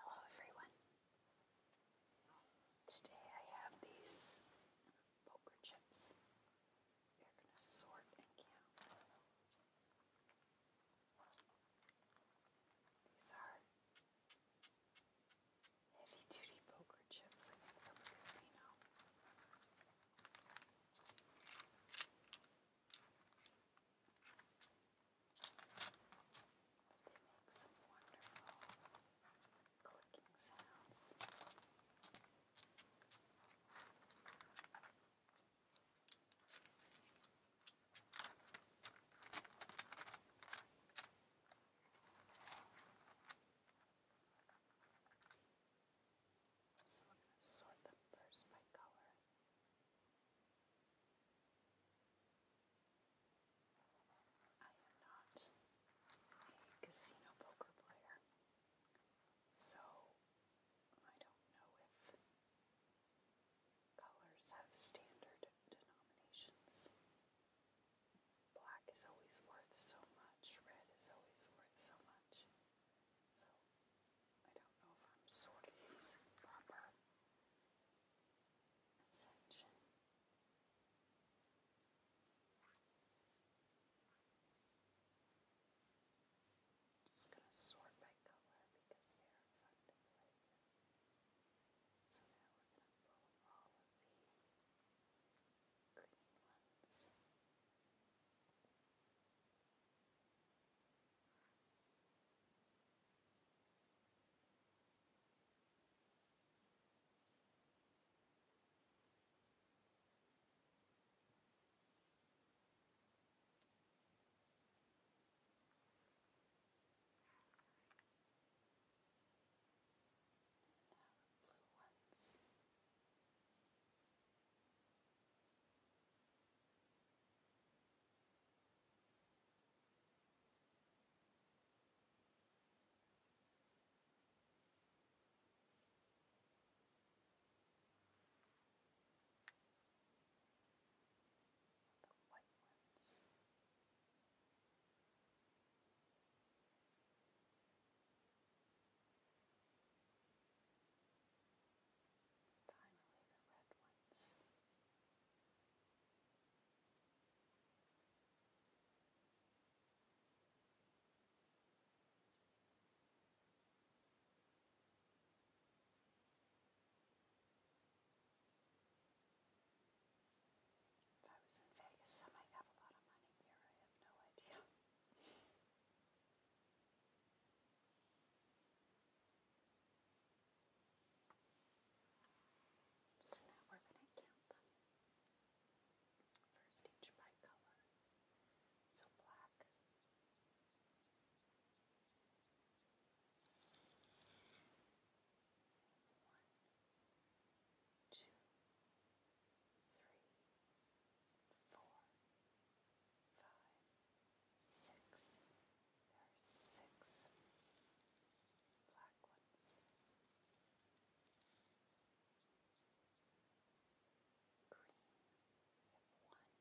Hello everyone. Today I have these poker chips. They're going to sort and count. These are heavy duty poker chips I think the casino. They make some wonderful clicking sounds. So we're going to sort them first by color. I am not a casino poker player, so I don't know if colors have standard denominations. Black is always worth so much, red is always worth so much. So I don't know if I'm sort of using proper ascension. Just going to sort by color because they are fun So now we're going to pull all of the green ones. And now the blue ones. Now the white ones. Now Finally, the red ones. If I was in Vegas, I might have a lot of money here. I have no idea. So now we're going to count them. First, each by color. So black, one, two, three, four, five, six. There are six black ones. Green. We have one, two, three,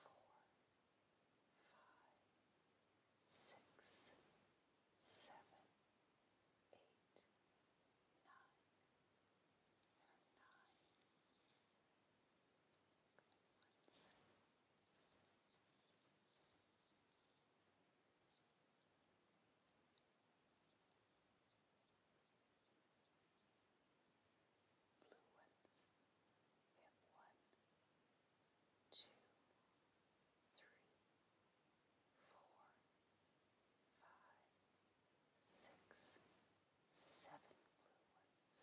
four, five, six, seven, eight, nine. There are nine good ones. Blue ones. We have one, two, three, four, five, six, seven blue ones.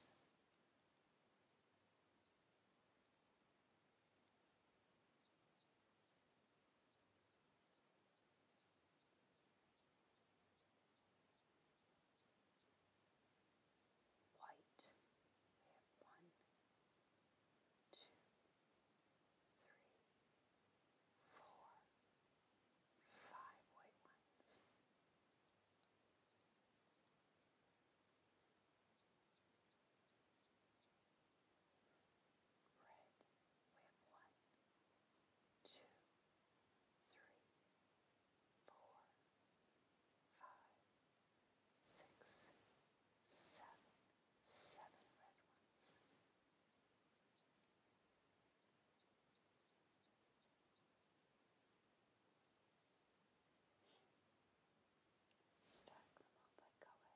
White, we have one, two, three, four, five white ones. Red, we have one, two, three, four, five, six, seven, seven red ones. Stack them all by color.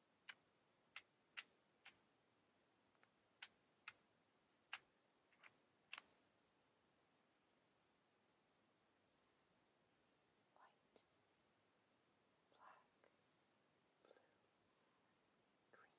White, black, blue, green, and red.